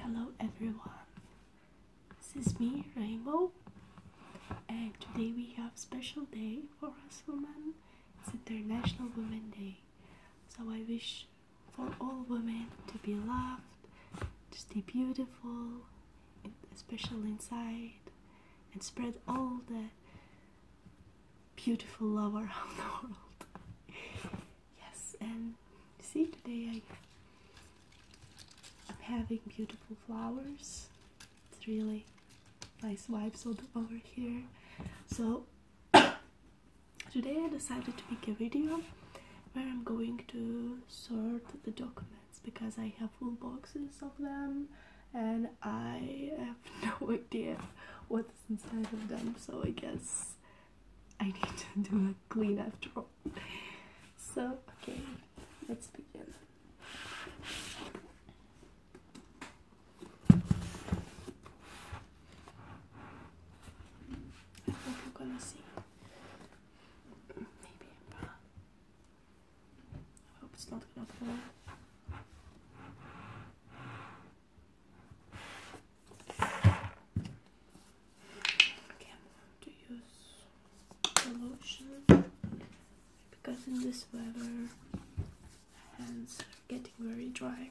Hello everyone, this is me Rainbow and today we have special day for us women, it's International Women Day. So I wish for all women to be loved, to stay beautiful, especially inside, and spread all the beautiful love around the world. yes, and see, today I, am having beautiful flowers. It's really nice vibes all over here. So, today I decided to make a video where I'm going to sort the document that's because I have full boxes of them and I have no idea what's inside of them so I guess I need to do a clean after all. So okay, let's begin. Maybe, but I hope it's not gonna fall. Okay, I'm going to use lotion because in this weather hands are getting very dry.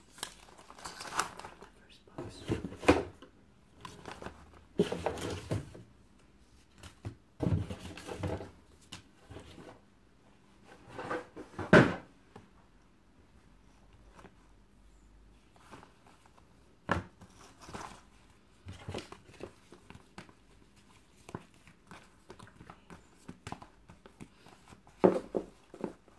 First box. Okay.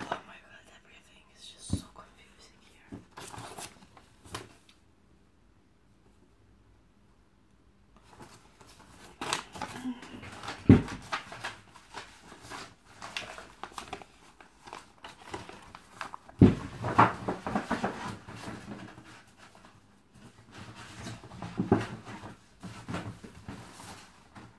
Oh my god, everything is just so confusing here.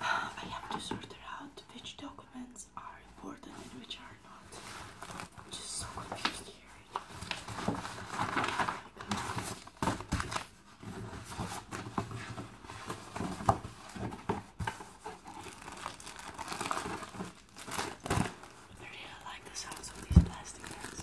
Uh, I have to sort out which documents are important and which are not. I'm just so confused here. I like the sounds of these plastic bags.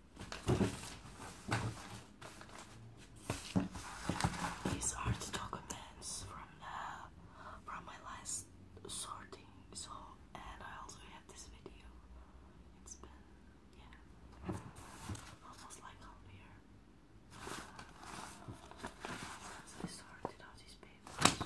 These are the documents from the, from my last sorting. So, and I also have this video. It's been yeah, almost like a year. So I sorted out these papers.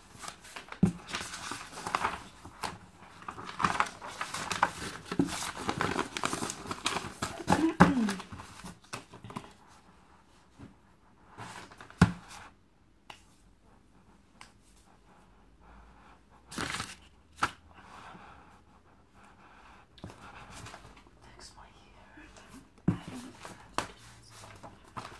Next one here.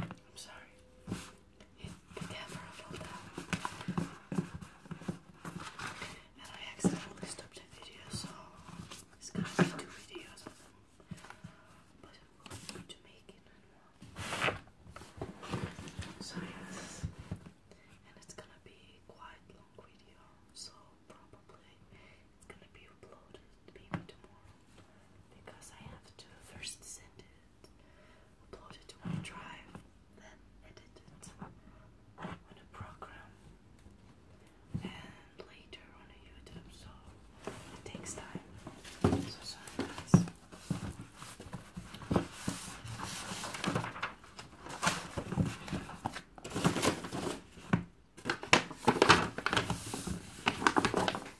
I'm sorry. I accidentally stopped the video, so it's gonna be two videos But I'm going to make it and So And it's gonna be quite long video, so probably it's gonna be uploaded maybe tomorrow because I have to first send it, upload it to my drive, then edit it on a program, and later on a YouTube. So it takes time. So sorry, guys.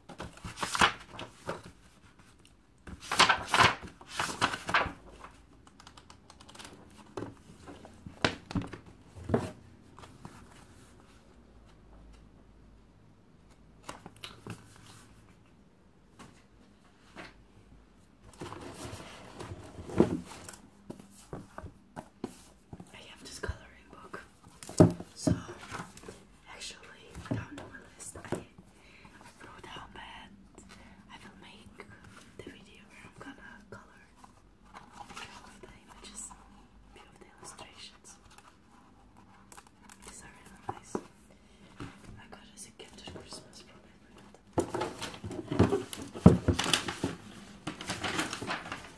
I have this coloring book. So actually without knowing list I wrote down that I will make the video where I'm gonna color few of the images, few of the illustrations. These are really nice. I got as a gift for Christmas from my friend.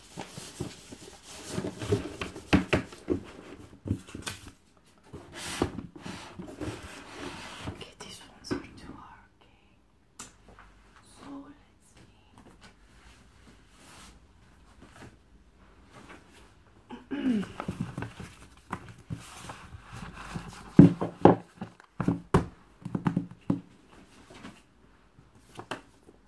Okay, these ones are too hard. Okay, so let's see.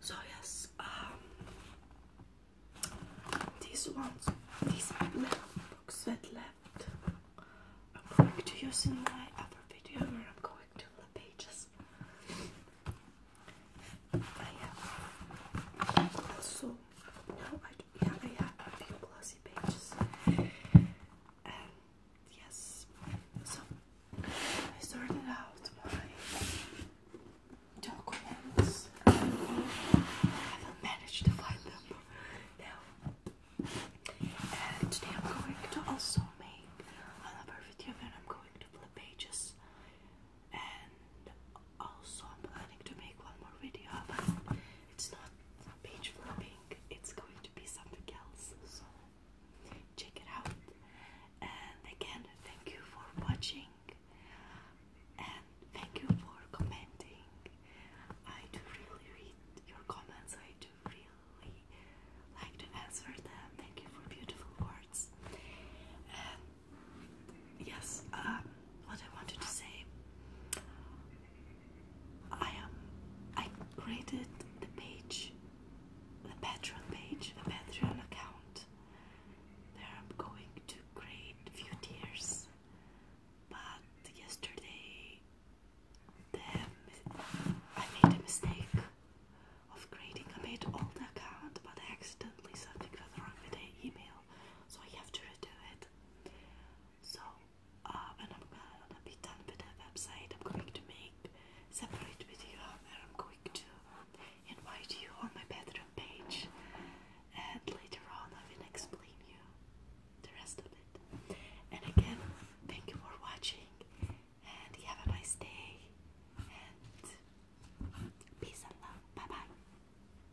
So yes, um, these ones, these books that left, I'm going to use in my other video where I'm going to the pages. I have also card. Yeah, I a few glossy pages. And yes, so I sorted out documents. I haven't managed to find them now. And today I'm going to also make another video where I'm going to flip pages and also I'm planning to make one more video about it's not page flipping, it's going to be something else. So check it out. And again, thank you for watching and thank you for commenting. I do really read your comments, I do really like to answer them. Thank you for beautiful words yes, uh, what I wanted to say, I am, um, I created the page, the Patreon page, the Patreon account. There I'm going to create few tiers, but yesterday, I made a mistake of creating. I made all account, but accidentally something went wrong with the email, so I have to redo it. So, um, uh, and I'm done with the website. I'm going to make separate video where I'm going to invite you on my Patreon page, and later on I will explain you the rest of it. And again, thank you for watching, and have a nice day, and peace and love. Bye bye.